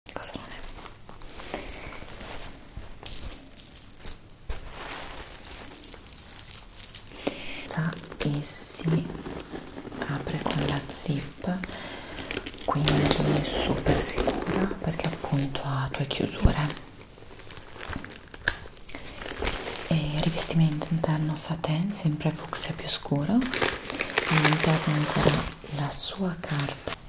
colore e si apre con la zip quindi è super sicura perché appunto ha due chiusure e rivestimento interno satin sempre fucsia più scuro all'interno ancora la sua carta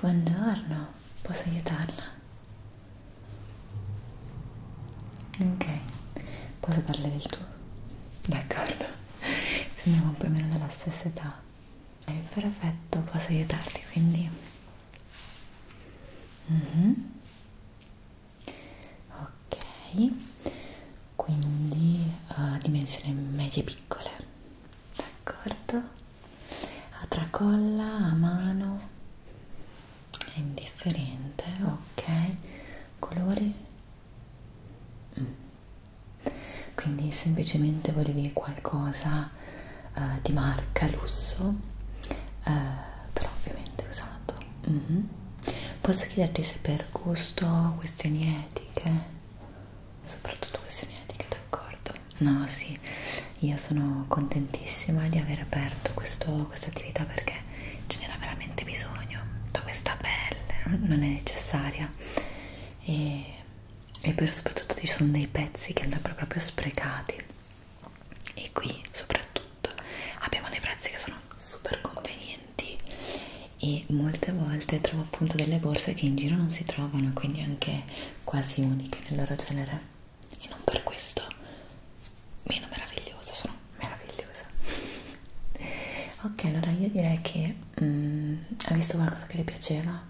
Buongiorno, Posso aiutarla? Ok, posso darle del tuo? D'accordo, sembriamo un po' meno della stessa età. È perfetto, posso aiutarti quindi. Mm -hmm. Ok, quindi uh, dimensioni medie piccole, d'accordo? a tracolla, a mano, è indifferente, ok, colori, mm. quindi semplicemente volevi qualcosa uh, di marca lusso, uh, però ovviamente usato. Mm -hmm. Posso chiederti se per gusto, questioni etiche, soprattutto questioni etiche, d'accordo? No, sì, io sono contentissima di aver aperto questo, questa attività perché ce n'era veramente bisogno da questa pelle, non è necessaria e, e poi soprattutto ci sono dei pezzi che andrebbero proprio sprecati e qui soprattutto abbiamo dei prezzi che sono super convenienti e molte volte trovo appunto delle borse che in giro non si trovano quindi anche quasi uniche nel loro genere e non per questo meno meravigliosa, sono meravigliosa ok allora io direi che mm, ha visto qualcosa che le piaceva?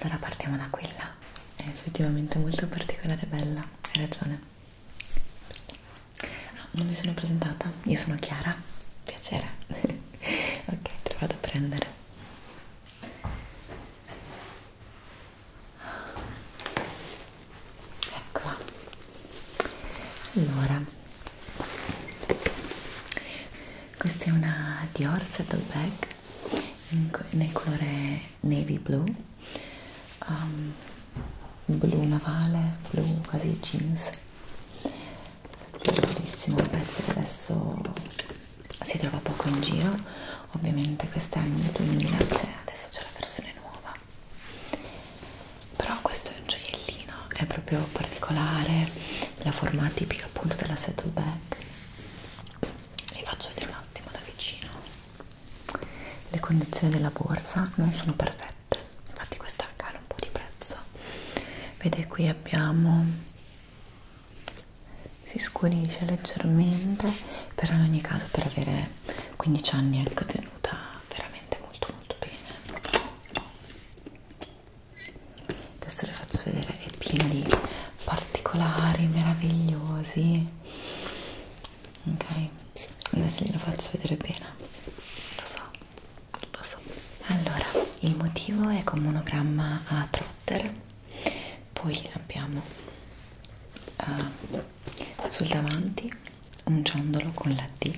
allora partiamo da quella è effettivamente molto particolare e bella, hai ragione ah, non mi sono presentata, io sono Chiara piacere ok, te lo vado a prendere ecco qua allora questa è una Dior Settle Bag in, nel colore navy blue um, blu navale blu quasi jeans bellissimo un pezzo che adesso si trova poco in giro ovviamente quest'anno nel 2000 c'è adesso c'è la versione nuova però questo è un gioiellino è proprio particolare la forma tipica appunto della settleback li faccio vedere un attimo da vicino le condizioni della borsa non sono perfette infatti questa cala un po' di prezzo vede qui abbiamo si scurisce leggermente però in ogni caso per avere 15 anni è tenuta veramente molto molto bene adesso le faccio vedere è piena di particolari meravigliosi ok adesso glielo faccio vedere bene lo so lo so allora il motivo è con monogramma a trotter poi abbiamo uh, sul davanti un ciondolo con la D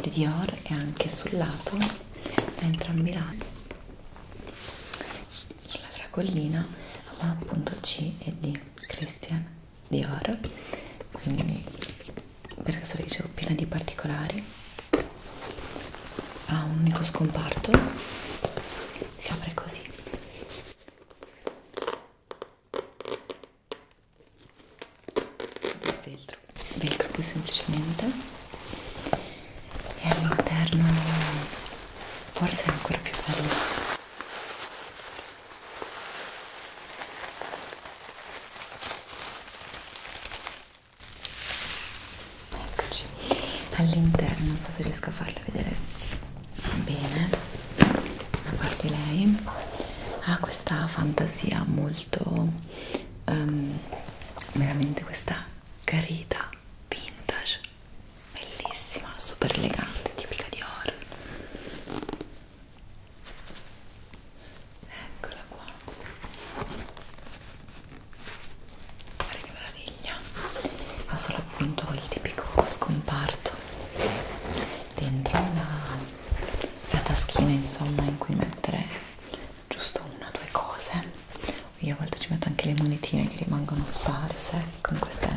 di Dior e anche sul lato da entrambi i lati sulla tracollina ma appunto C e D Christian Dior quindi per questo vi dicevo piena di particolari ha ah, un unico scomparto si apre così velcro velcro qui semplicemente e all'interno forse è ancora più bello eccoci all'interno non so se riesco a farla vedere bene a parte lei ha questa fantasia molto um, veramente questa carita vintage bellissima super elegante tipica di oro eccola qua guarda che meraviglia ha solo appunto il tipico scomparto dentro una, una taschina insomma in cui mettere giusto una o due cose io a volte ci metto anche le monetine che rimangono sparse con queste,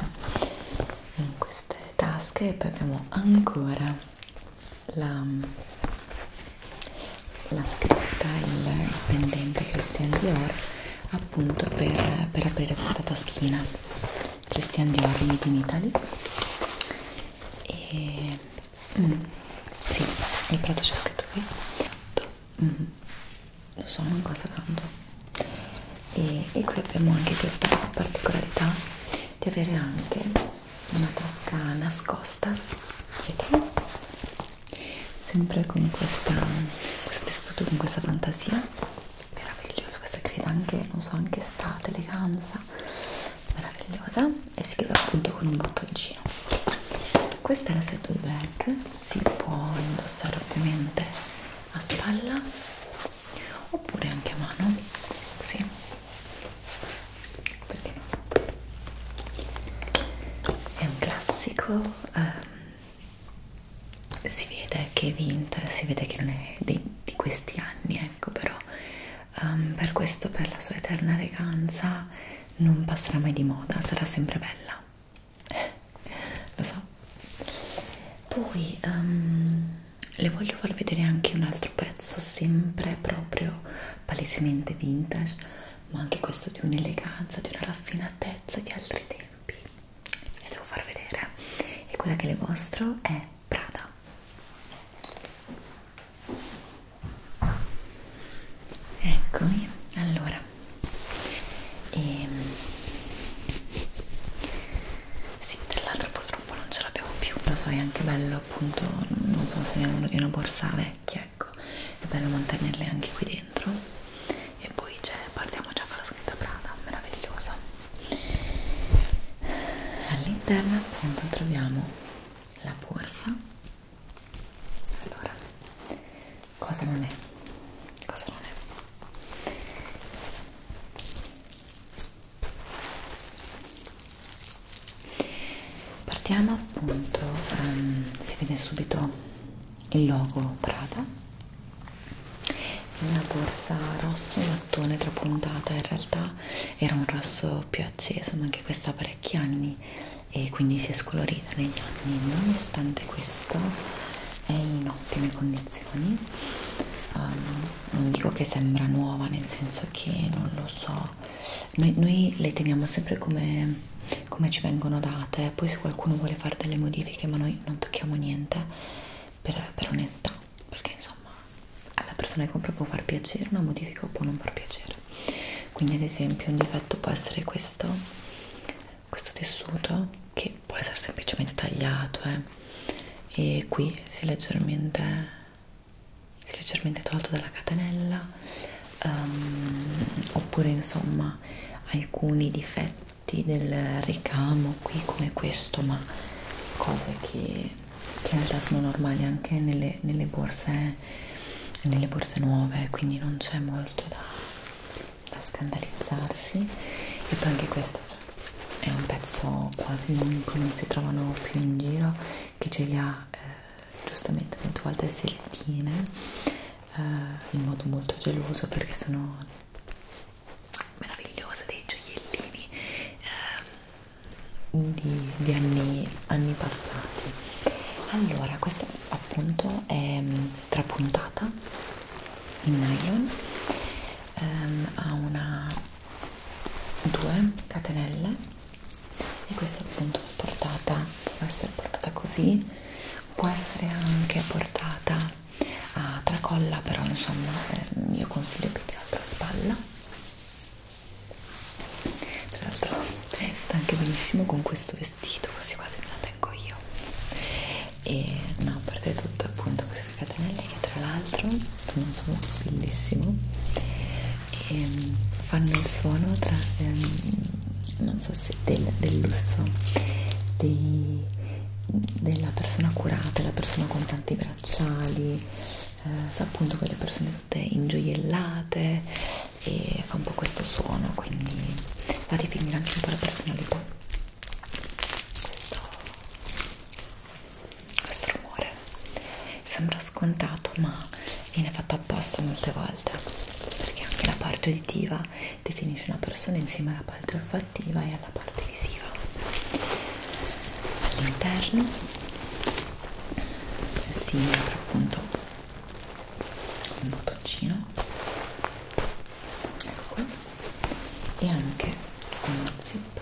in queste tasche e poi abbiamo ancora la la scritta il, il pendente Christian Dior appunto per, per aprire questa taschina Christian Dior Made in Italy e mm, sì, il prato c'è scritto qui mm, lo so, non costa tanto e, e qui abbiamo anche questa particolarità di avere anche una tasca nascosta dietro sempre con questa, questo tessuto, con questa fantasia meraviglioso, questa creda anche, non so, anche estate, eleganza meravigliosa e si chiude appunto con un bottoncino questa è la saddle bag si può indossare ovviamente a spalla oppure anche a mano sì perché no? È un classico, um, si vede che è vinta, si vede che non è di, di questi anni, ecco, però um, per questo, per la sua eterna eleganza, non passerà mai di moda, sarà sempre bella. Eh, lo so. Poi um, le voglio far vedere anche un altro pezzo, sempre proprio palesemente vintage ma anche questo di un'eleganza, di una raffinatezza di altri tempi. La devo far vedere. E quella che le mostro è Prada. Eccomi, allora. E... Ehm, sì, tra l'altro purtroppo non ce l'abbiamo più, lo so, è anche bello appunto, non so se è uno di una borsa vecchia ecco è bello mantenerle anche qui dentro e poi c'è cioè, partiamo già con la scritta Prada meraviglioso all'interno appunto troviamo la borsa allora cosa non è cosa non è partiamo appunto um, si vede subito il logo Prada una borsa rosso mattone trapuntata in realtà era un rosso più acceso ma anche questa ha parecchi anni e quindi si è scolorita negli anni nonostante questo è in ottime condizioni um, non dico che sembra nuova nel senso che non lo so noi, noi le teniamo sempre come, come ci vengono date poi se qualcuno vuole fare delle modifiche ma noi non tocchiamo niente per, per onestà perché insomma alla persona che compra può far piacere una modifica o può non far piacere quindi ad esempio un difetto può essere questo questo tessuto che può essere semplicemente tagliato eh. e qui si leggermente si è leggermente tolto dalla catenella um, oppure insomma alcuni difetti del ricamo qui come questo ma cose che, che in realtà sono normali anche nelle, nelle borse nelle borse nuove quindi non c'è molto da, da scandalizzarsi e poi anche questo è un pezzo quasi unico non si trovano più in giro che ce li ha eh, giustamente molte volte selettine eh, in modo molto geloso perché sono meravigliose dei gioiellini eh, di, di anni, anni passati allora questa appunto è mm, trapuntata in nylon um, ha una due catenelle e questa appunto è portata, può essere portata così, può essere anche portata a tracolla, però insomma eh, io consiglio più che altro a spalla. Tra l'altro sta anche benissimo con questo vestito, quasi quasi me la tengo io. E no, a parte tutto appunto queste catenelle che tra l'altro sono, sono bellissimo e mm, fanno il suono tra, ehm, non so se del, del lusso dei, della persona curata, la persona con tanti bracciali, eh, sa appunto quelle persone tutte ingioiellate e fa un po' questo suono, quindi va a dipingere anche un po' la personalità. Questo, questo rumore sembra scontato ma viene fatto apposta molte volte perché anche la parte uditiva definisce una persona insieme alla parte olfattiva e alla parte visiva all'interno si apre appunto un bottoncino ecco qua e anche uno zip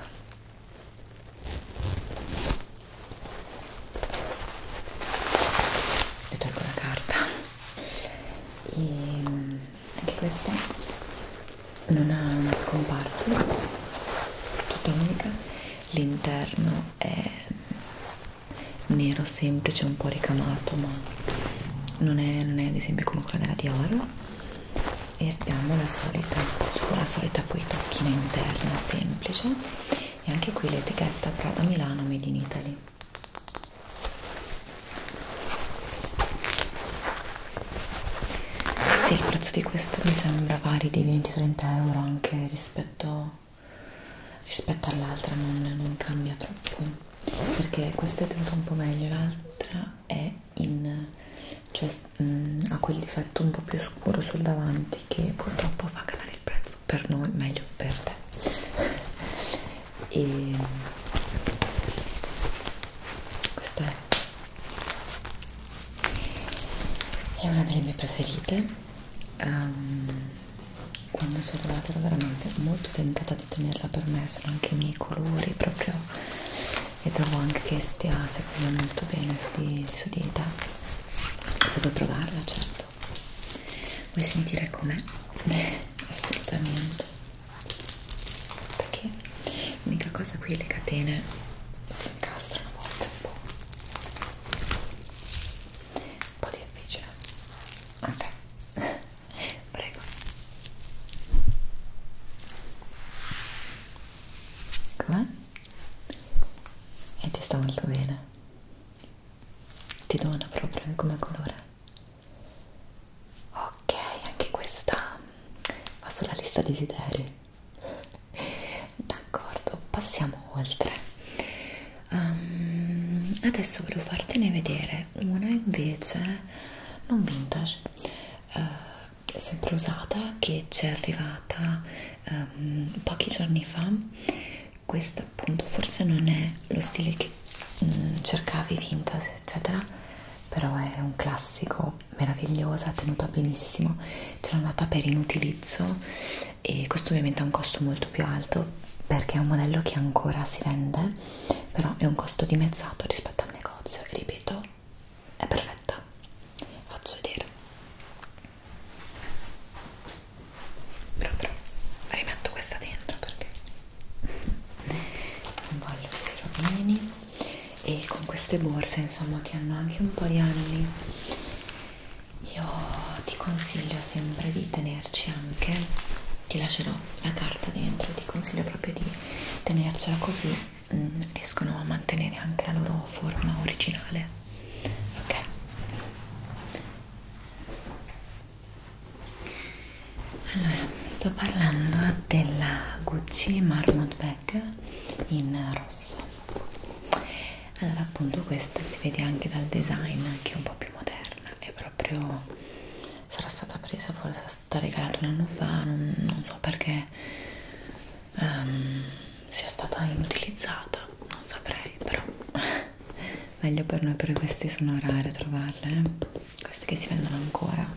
le tolgo la carta e anche questa non ha una scomparto tutta unica l'interno è nero semplice un po' ricamato ma non è, non è ad esempio come quella della Dior e abbiamo la solita la solita poi taschina interna semplice e anche qui l'etichetta Prada Milano Made in Italy sì, il prezzo di questo mi sembra vari di 20-30 euro anche rispetto, rispetto all'altra, non, non cambia troppo perché questa è tenuta un po' meglio, l'altra è in, cioè, mh, mm, ha quel difetto un po' più scuro sul davanti che purtroppo fa calare migliore il prezzo per noi, meglio per te. E questa è, è una delle mie preferite. Um, quando sono arrivata ero veramente molto tentata di tenerla per me, sono anche i miei colori proprio e trovo anche che stia secondo me molto bene su di, su di te devo provarla certo vuoi sentire com'è? assolutamente perché l'unica cosa qui le catene si incastrano a volte un po' un po' difficile ok prego com'è? e ti sta molto bene ti dona proprio come colore ok anche questa va sulla lista desideri d'accordo passiamo oltre um, adesso volevo fartene vedere una invece non vintage uh, sempre usata che ci è arrivata um, pochi giorni fa questo appunto forse non è lo stile che um, cercavi vintage eccetera però è un classico meravigliosa tenuta benissimo ce l'ho andata per inutilizzo e questo ovviamente ha un costo molto più alto perché è un modello che ancora si vende però è un costo dimezzato rispetto al negozio e ripeto è perfetta faccio vedere però però rimetto questa dentro perché non voglio che si rovini e con queste borse insomma che hanno anche un po' di anni io ti consiglio sempre di tenerci anche ti lascerò la carta dentro ti consiglio proprio di tenercela così mm, riescono a mantenere anche la loro forma originale ok allora sto parlando della Gucci Marmot Bag in rosso allora appunto questa si vede anche dal design che è un po' più moderna è proprio sarà stata presa forse è stata regalata un anno fa non, non so perché um, sia stata inutilizzata, non saprei, però meglio per noi, perché questi sono rare trovarle, eh? queste che si vendono ancora.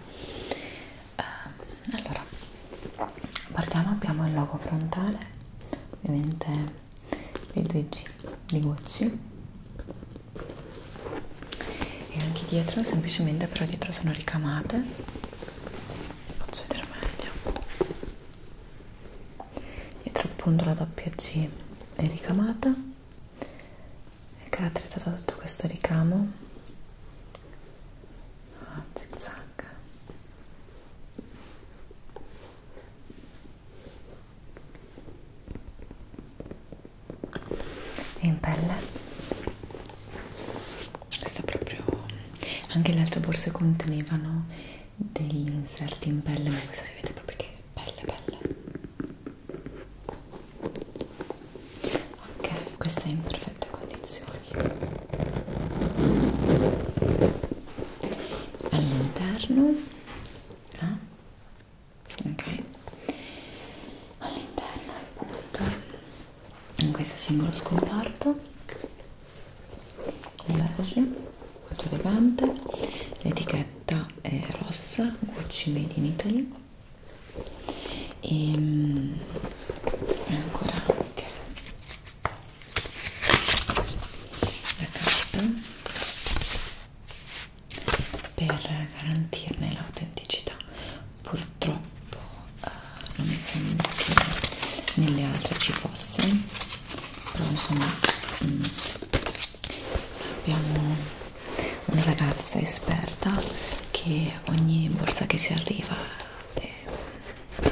Um, allora, partiamo, abbiamo il logo frontale, ovviamente i 2G di Gucci e anche dietro semplicemente però dietro sono ricamate faccio vedere meglio dietro appunto la doppia G è ricamata è caratterizzata da tutto questo ricamo a ah, zig zag e in pelle sta proprio anche le altre borse contenevano degli inserti in pelle ma questa si vede proprio che pelle pelle ok questa è in perfette condizioni all'interno ah, ok all'interno appunto in questo singolo scomparto beige molto elegante l'etichetta è rossa Gucci Made in Italy ehm, e ancora anche la carta per garantirne l'autenticità purtroppo uh, non mi sembra che nelle altre ci fosse però insomma mh, mm, abbiamo una ragazza esperta che ogni borsa che ci arriva eh,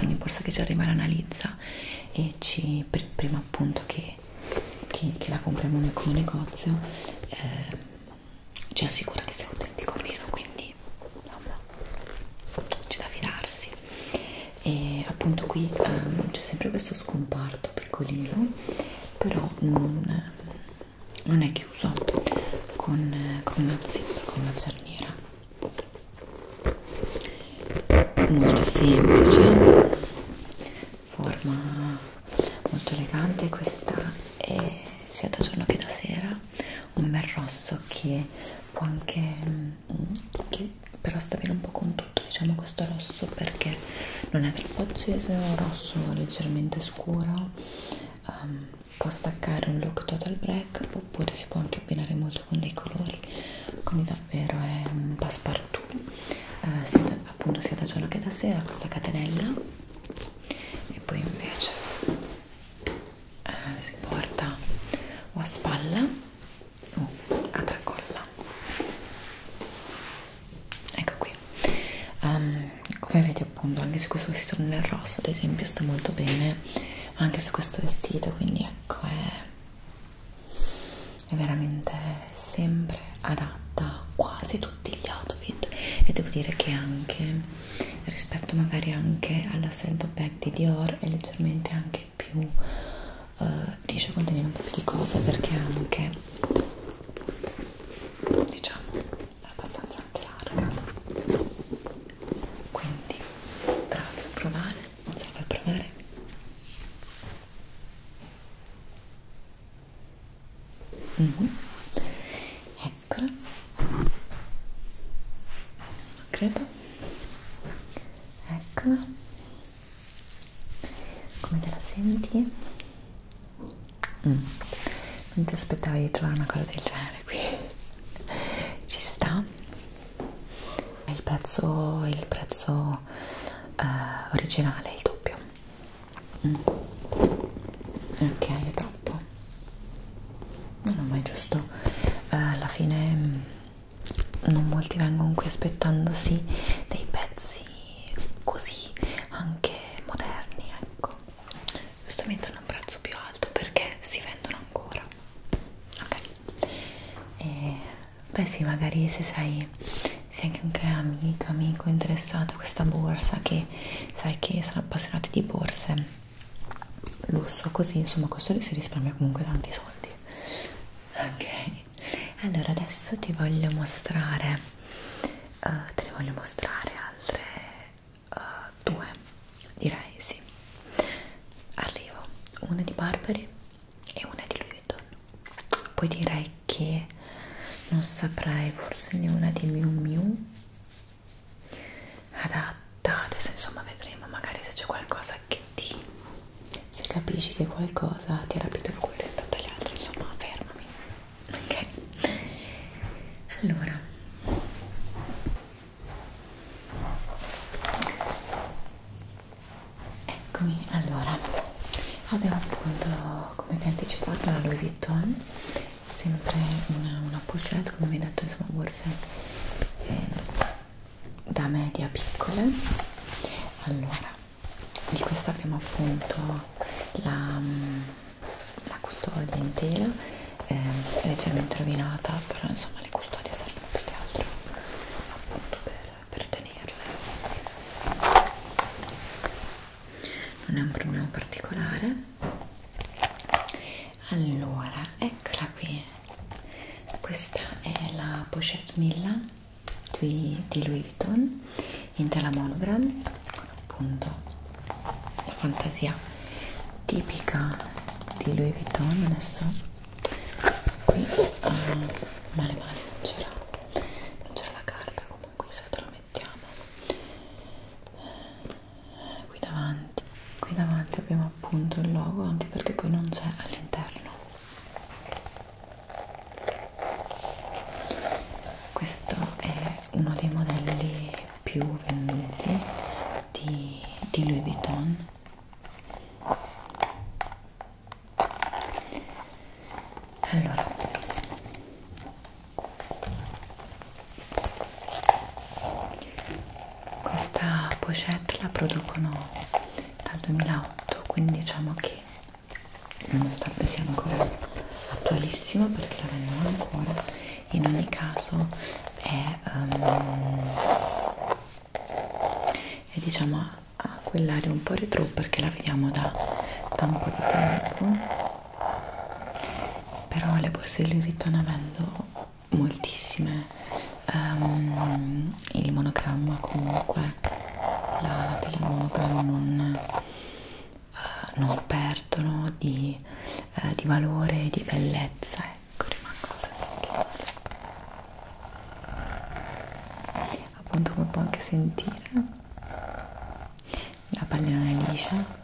ogni borsa che ci arriva l'analizza e ci pr prima appunto che, che, che la compriamo noi come negozio eh, ci assicura che sia autentico o meno quindi quindi insomma c'è da fidarsi e appunto qui um, c'è sempre questo scomparto piccolino però non, non è chiuso con, con una zeppa, con una cerniera molto semplice forma molto elegante questa è sia da giorno che da sera un bel rosso che può anche mm, che però sta bene un po' con tutto diciamo questo rosso perché non è troppo acceso è un rosso leggermente scuro um, può staccare un look total black oppure si può anche abbinare molto con dei colori quindi davvero è un passepartout uh, sia da, appunto sia da giorno che da sera questa catenella e poi invece eh, si porta o a spalla o oh, a tracolla ecco qui um, come vedete appunto anche se questo vestito non è rosso ad esempio sta molto bene anche su questo vestito quindi ecco è è veramente sempre adatta a quasi tutti gli outfit e devo dire che anche rispetto magari anche alla Scent Bag di Dior è leggermente anche più eh, riesce a contenere un po' più di cose perché è anche diciamo è abbastanza anche larga quindi te la faccio provare non se la fai provare mm -hmm. è ancora non credo eccola come te la senti? Mm. non ti aspettavi di trovare una cosa del genere qui ci sta è il prezzo, il prezzo uh, originale il doppio mm. ok è troppo no no ma è giusto eh, alla fine mm, non molti vengono qui aspettandosi dei pezzi così anche moderni ecco giustamente hanno un prezzo più alto perché si vendono ancora ok e, beh sì magari se sei se anche un amico amico interessato a questa borsa che sai che sono appassionati di borse lusso così insomma questo lì si risparmia comunque tanti soldi ok allora adesso ti voglio mostrare uh, te ne voglio mostrare altre uh, due direi sì arrivo una di Barberi e una di Louis Vuitton poi direi che non saprei forse di una di Miu Miu adatta adesso insomma vedremo magari se c'è qualcosa che ti se capisci che qualcosa ti ha rapito il cuore rispetto agli altri insomma fermami ok allora eccomi allora abbiamo appunto come vi anticipato la Louis Vuitton sempre una, una pochette come vi ho detto insomma borse eh, da media piccole allora di questa abbiamo appunto la, mm, la custodia in tela eh, leggermente rovinata però insomma le custodie servono più che altro appunto per, per tenerle non è un problema particolare allora eccola qui questa è la pochette Milla di, di Louis Vuitton in tela monogram con appunto la fantasia tipica di Louis Vuitton adesso qui uh, male male non c'era non c'era la carta comunque sotto la mettiamo qui davanti qui davanti abbiamo appunto il logo anche perché poi non c'è all'interno questo è uno dei modelli più venduti di, di Louis Vuitton allora questa pochette la producono dal 2008 quindi diciamo che nonostante sia ancora attualissima perché la vendono ancora in ogni caso è, um, è diciamo a quell'area un po' retro perché la vediamo da, da un po' di tempo però le borse di Louis Vuitton avendo moltissime um, il monogramma comunque la, la pelle monogramma non, uh, non perdono di, uh, di valore e di bellezza ecco rimangono sempre appunto come può anche sentire la pelle non è liscia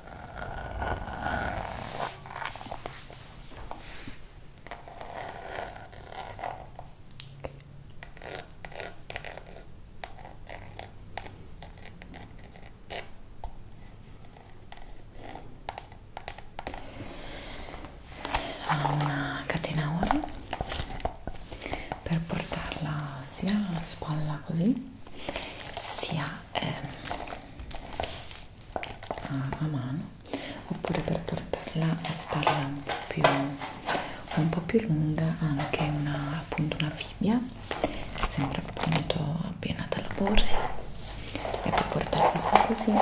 ha una catena oro per portarla sia alla spalla così sia eh, a, a mano oppure per portarla a spalla un po' più, un po più lunga anche una, appunto una fibbia che sembra appunto appianata alla borsa e poi portarla così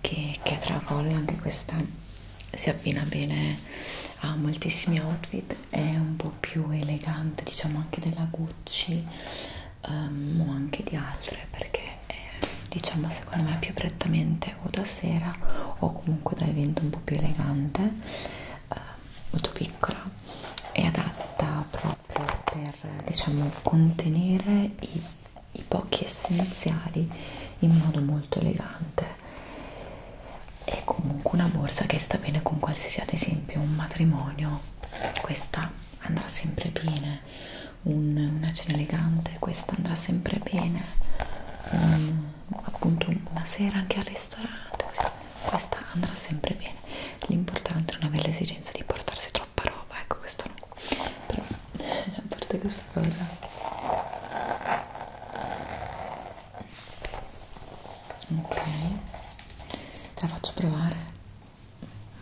che, che a tracolla anche questa si abbina bene a moltissimi outfit è un po' più elegante diciamo anche della Gucci um, o anche di altre perché è, diciamo secondo me più prettamente o da sera o comunque da evento un po' più elegante uh, molto piccola è adatta proprio per diciamo contenere i, i pochi essenziali in modo molto elegante è comunque una borsa che sta bene con qualsiasi ad esempio un matrimonio questa andrà sempre bene un, una cena elegante questa andrà sempre bene un, appunto una sera anche al ristorante così. questa andrà sempre bene l'importante è non avere l'esigenza di portarsi troppa roba ecco questo no però a parte questa cosa ok te la faccio provare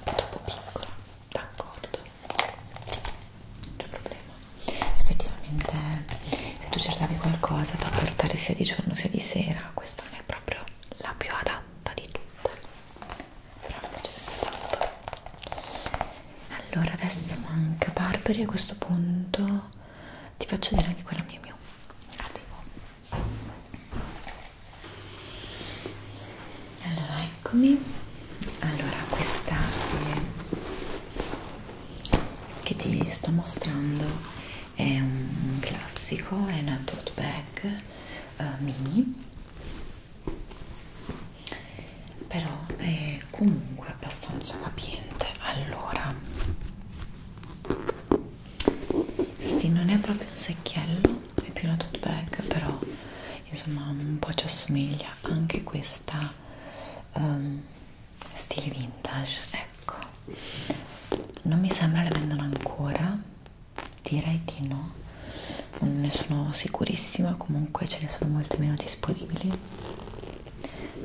è troppo piccola d'accordo non c'è problema effettivamente se tu cercavi qualcosa da portare sia di giorno sia di sera questa non è proprio la più adatta di tutte però mi piace sempre tanto allora adesso manca Barberi a questo punto ti faccio vedere anche quella mia mia arrivo allora eccomi allora questa è, che ti sto mostrando è un classico è una tote bag uh, mini però è comunque abbastanza capiente allora sì, non è proprio un secchiello, è più una tote bag, però insomma un po' ci assomiglia anche questa um, stile vintage, ecco. Non mi sembra le vendano ancora, direi di no, non ne sono sicurissima, comunque ce ne sono molte meno disponibili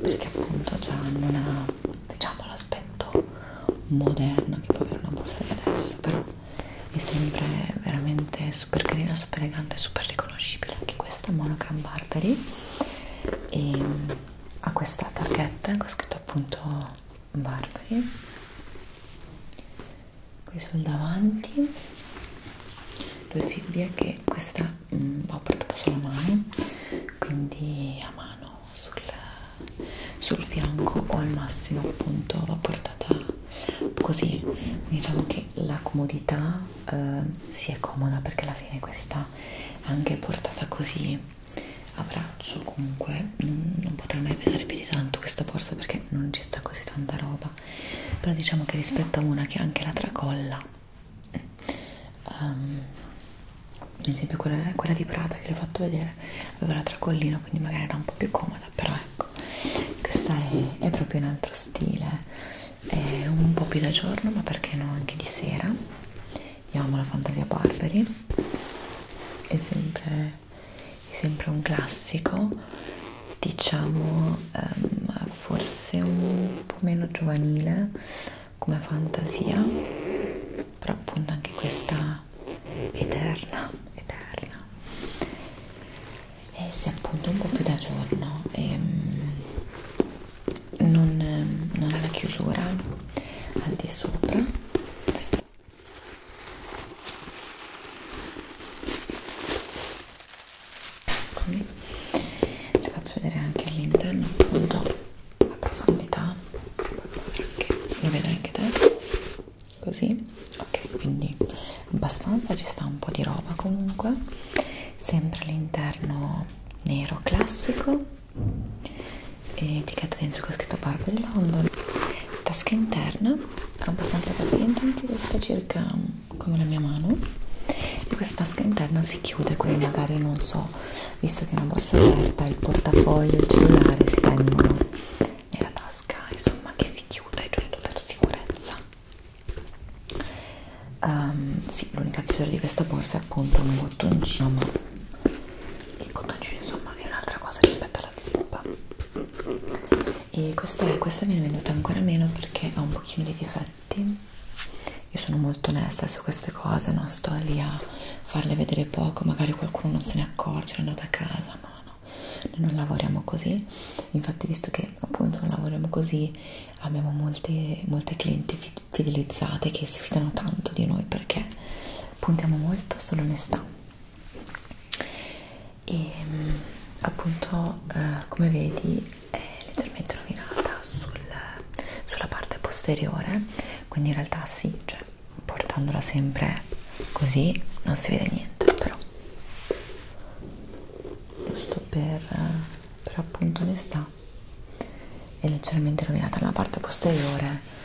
perché appunto già hanno una diciamo l'aspetto moderno che può avere una borsa di adesso però mi sembra veramente super carina super elegante super riconoscibile anche questa è monogram Barbary e mm, ha questa targhetta con scritto appunto Barbary qui sul davanti due fibbie che questa mh, mm, ho portata sulla mano quindi a mano sul, sul fianco o al massimo appunto va portata così diciamo che la comodità eh, si è comoda perché alla fine questa anche portata così a braccio comunque non, non potrà mai pesare più di tanto questa borsa perché non ci sta così tanta roba però diciamo che rispetto a una che anche la tracolla Um, ehm, ad esempio quella, quella di Prada che vi ho fatto vedere aveva la tracollina quindi magari era un po' più comoda però ecco questa è, è proprio un altro stile è un po' più da giorno ma perché no anche di sera io amo la fantasia Barberi è sempre, è sempre un classico diciamo um, forse un po' meno giovanile come fantasia però appunto anche questa eterna eterna e eh, se appunto un po' più da giorno e ehm, non, non ha la chiusura al di sopra adesso Eccomi. le faccio vedere anche all'interno appunto la profondità lo vedo anche te così ok quindi abbastanza ci sta un po' di roba comunque sempre all'interno nero classico e etichetta dentro che ho scritto Barbary London tasca interna abbastanza capiente anche questa circa mm, come la mia mano e questa tasca interna si chiude quindi magari non so visto che è una borsa aperta il portafoglio, il cellulare si tengono nella tasca insomma che si chiude giusto per sicurezza um, sì, l'unica chiusura di questa borsa è appunto un bottoncino ma il bottoncino insomma è un'altra cosa rispetto alla zip e questa, questa viene venduta ancora meno perché ha un pochino di difetti io sono molto onesta su queste cose, non sto lì a farle vedere poco, magari qualcuno non se ne accorge, è andato a casa, no, no, noi non lavoriamo così, infatti visto che appunto non lavoriamo così abbiamo molte, molte clienti fidelizzate che si fidano tanto di noi perché puntiamo molto sull'onestà e ehm, appunto eh, come vedi è leggermente rovinata sul, sulla parte posteriore quindi in realtà sì, cioè portandola sempre così non si vede niente però giusto per, per appunto onestà è leggermente rovinata nella parte posteriore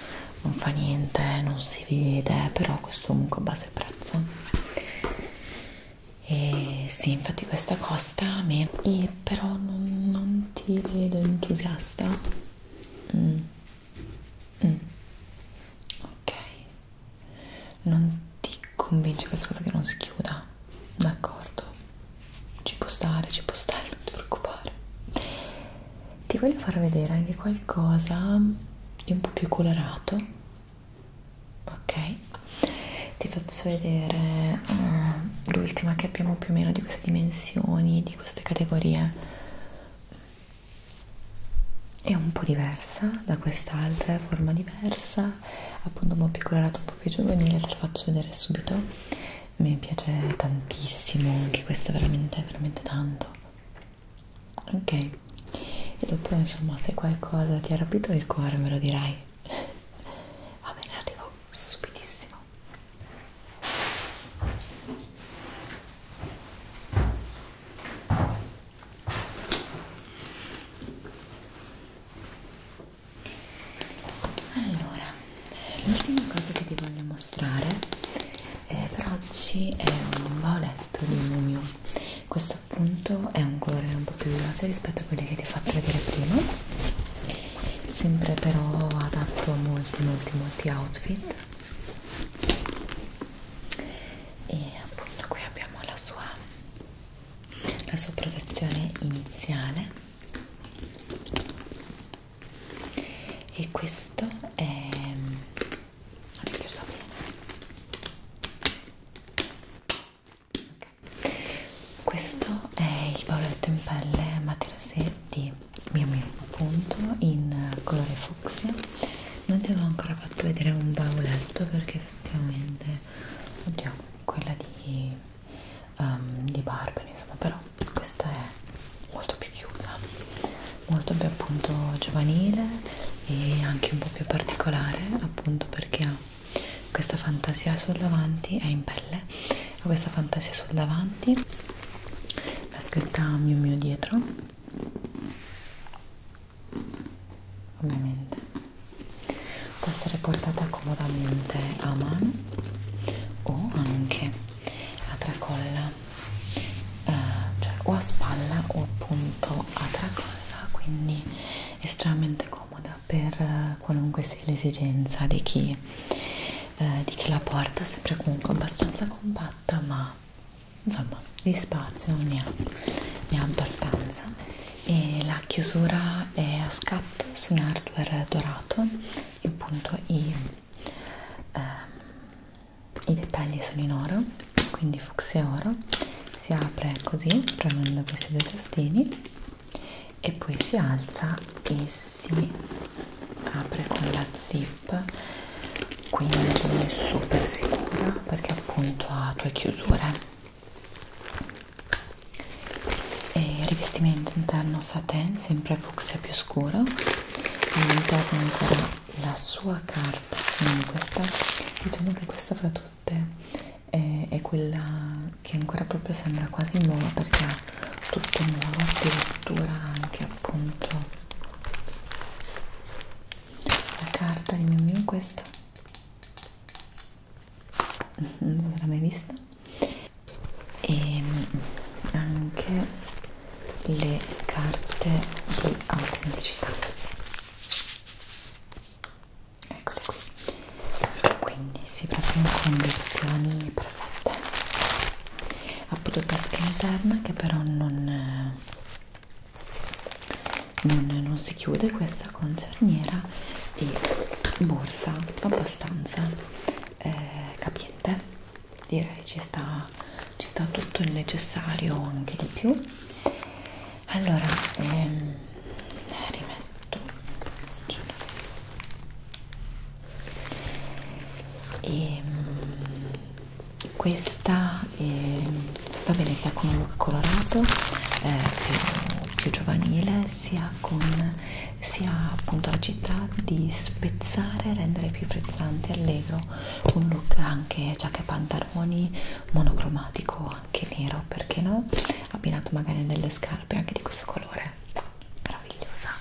non fa niente non si vede però questo comunque abbassa il prezzo e sì infatti questa costa meno e però non, non ti vedo entusiasta Mm. Mm. Ok, non ti convince questa cosa che non si chiuda, d'accordo? Ci può stare, ci può stare, non ti preoccupare. Ti voglio far vedere anche qualcosa di un po' più colorato, ok? Ti faccio vedere uh, l'ultima che abbiamo più o meno di queste dimensioni, di di queste categorie è un po' diversa da quest'altra, è forma diversa, appunto un po' più colorata, un po' più giovanile, te la faccio vedere subito. Mi piace tantissimo, anche questa veramente, veramente tanto. Ok, e dopo insomma se qualcosa ti ha rapito il cuore me lo dirai. Va bene, arrivo subitissimo allora l'ultima cosa che ti voglio mostrare eh, per oggi è un bauletto di mumio questo appunto è un colore un po' più vivace rispetto a quelli che ti ho fatto vedere prima sempre però adatto a molti molti molti outfit e appunto qui abbiamo la sua la sua protezione iniziale e questo è non è chiuso bene okay. questo è il bauletto in pelle materassé di mio mio appunto in colore fucsia non ti avevo ancora fatto vedere un bauletto perché effettivamente oddio quella di, um, di Barbara insomma però questa è molto più chiusa molto più appunto giovanile e anche un po' più particolare appunto perché ha questa fantasia sul davanti è in pelle ho questa fantasia sul davanti la scritta mio mio dietro ovviamente può essere portata comodamente a mano o anche a tracolla eh, cioè o a spalla o appunto a tracolla quindi estremamente comoda per eh, qualunque sia l'esigenza di chi eh, di che la porta sempre comunque abbastanza compatta ma insomma di spazio ne ha, ne ha abbastanza e la chiusura è a scatto su un hardware dorato e appunto i, eh, i dettagli sono in oro quindi fucsia oro si apre così premendo questi due tastini e poi si alza e si apre con la zip quindi è super sicura perché appunto ha due chiusure e rivestimento interno satin sempre fucsia più scuro all'interno ancora la sua carta quindi questa diciamo che questa fra tutte è, è quella che ancora proprio sembra quasi nuovo perché è tutto nuovo addirittura anche appunto la carta di mio amico questa mm-hmm, non l'ho mai vista e ehm, anche le carte di autenticità eccole qui quindi si proprio in condizioni perfette appunto tasca interna che però non, non, non si chiude questa concerniera e borsa abbastanza eh, capiente direi ci sta, ci sta tutto il necessario anche di più allora ehm, rimetto tutto e ehm, questa eh, sta bene sia con un look colorato eh, più, più giovanile sia con sia appunto la città di spezzare rendere più frizzante allegro un look anche giacca e pantaloni monocromatico anche nero perché no abbinato magari a delle scarpe anche di questo colore meravigliosa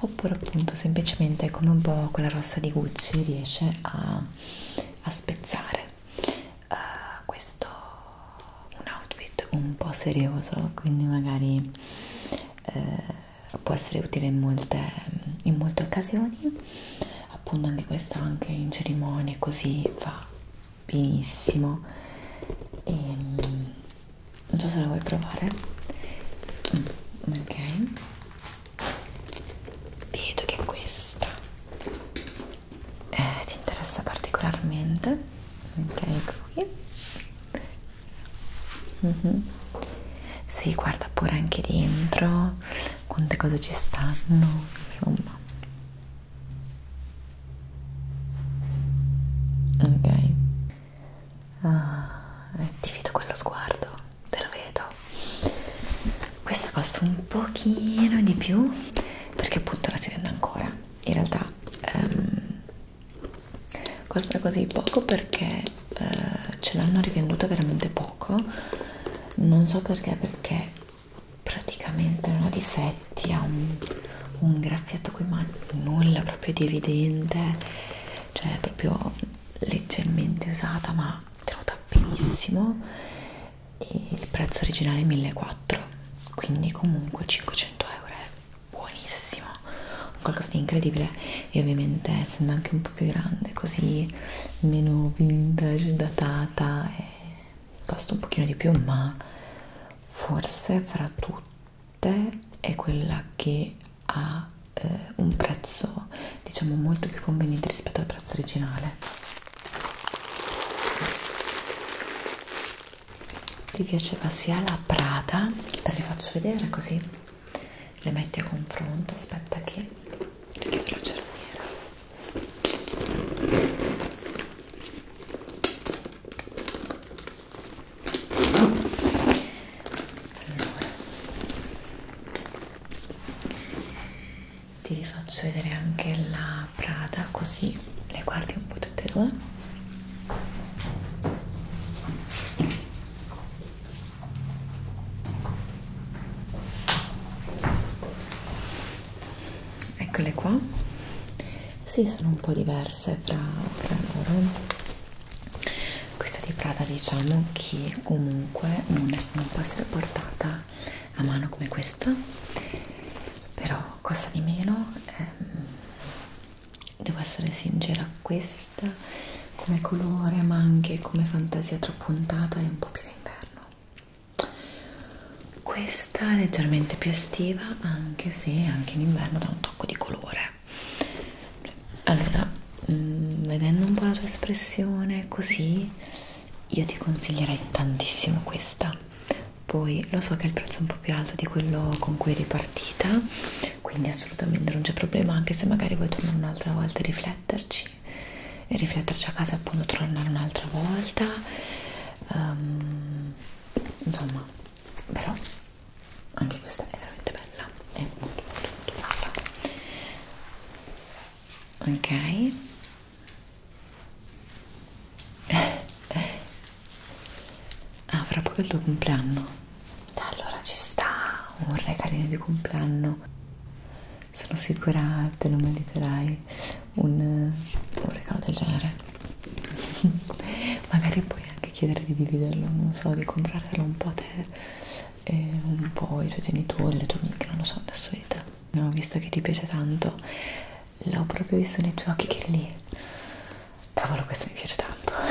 oppure appunto semplicemente come un po' quella rossa di Gucci riesce a, a spezzare uh, questo un outfit un po' serioso quindi magari uh, può essere utile in molte, in molte occasioni appunto anche questo anche in cerimonie così va benissimo e, ehm, non so se la vuoi provare mm, ok vedo che questa eh, ti interessa particolarmente ok qui mm -hmm. si guarda pure anche dentro quante cose ci stanno insomma Ok. Ah, ti vedo quello sguardo, te lo vedo. Questa costa un pochino di più perché appunto la si vende ancora. In realtà um, ehm, costa così poco perché uh, ce l'hanno rivenduta veramente poco. Non so perché, perché praticamente non ha difetti effetti, ha un, un graffiato qui, ma nulla proprio di evidente, cioè proprio leggermente usata, ma tenuta benissimo. E il prezzo originale è 1400, quindi comunque 500 euro è buonissimo, qualcosa di incredibile. E ovviamente, essendo anche un po' più grande, così meno vintage, datata. E eh, costa un pochino di più ma forse fra tutto te è quella che ha eh, un prezzo diciamo molto più conveniente rispetto al prezzo originale ti piaceva sia la Prada te le faccio vedere così le metti a confronto aspetta che perché la cerniera allora ti faccio vedere anche la Prada così le guardi un po' tutte e due eccole qua sì sono un po' diverse fra, fra loro questa di Prada diciamo che comunque non, è, non può essere portata a mano come questa però costa di meno ehm, devo essere sincera questa come colore ma anche come fantasia troppo puntata è un po' più d'inverno questa è leggermente più estiva anche se anche in inverno dà un tocco di colore allora mh, mm, vedendo un po' la tua espressione così io ti consiglierei tantissimo questa poi lo so che il prezzo è un po' più alto di quello con cui eri partita quindi assolutamente non c'è problema anche se magari vuoi tornare un'altra volta e rifletterci e rifletterci a casa appunto tornare un'altra volta um, insomma però anche questa è veramente bella è molto molto molto bella ok ah fra poco è il tuo compleanno da allora ci sta un regalino di compleanno sono sicura te lo meriterai un, eh, un regalo del genere magari puoi anche chiedere di dividerlo non so, di comprartelo un po' a te e un po' i tuoi genitori, le tue amiche, non lo so, adesso di te no, visto che ti piace tanto l'ho proprio visto nei tuoi occhi che lì cavolo questo mi piace tanto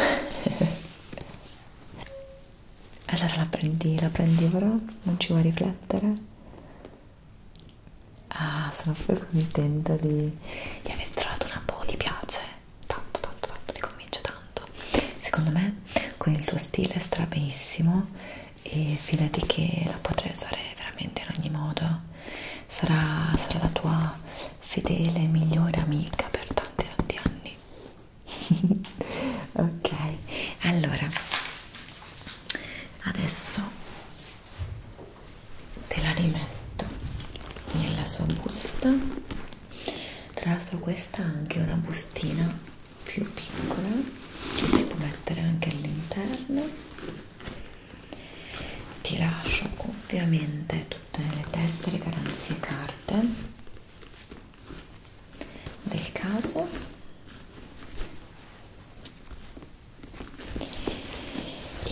allora la prendi, la prendi ora, non ci vuoi riflettere Ah, sono proprio contenta di, di aver trovato una po'. Boh, ti piace? Tanto, tanto, tanto, ti convince tanto. Secondo me con il tuo stile stra benissimo e fidati che la potrai usare veramente in ogni modo. Sarà, sarà la tua fedele migliore amica per tanti tanti anni. ok, allora adesso te la rimetto nella sua busta tra l'altro questa ha anche una bustina più piccola che si può mettere anche all'interno ti lascio ovviamente tutte le tessere garanzie carte del caso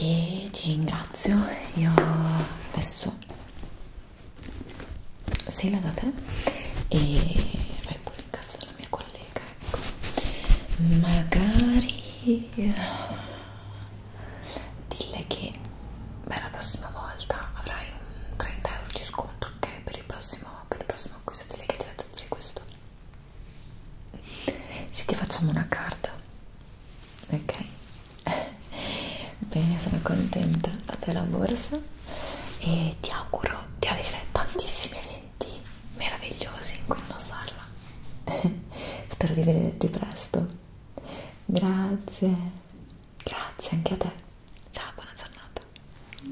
e ti ringrazio io adesso sei da te e vai pure in casa della mia collega ecco magari dille che beh, la prossima volta avrai un 30 euro di sconto ok per il prossimo per il prossimo acquisto delle che ti ho detto questo se ti facciamo una carta ok bene sono contenta a te la borsa e ti auguro di avere tantissimi eventi meravigliosi in cui indossarla spero di vederti presto grazie grazie anche a te ciao buona giornata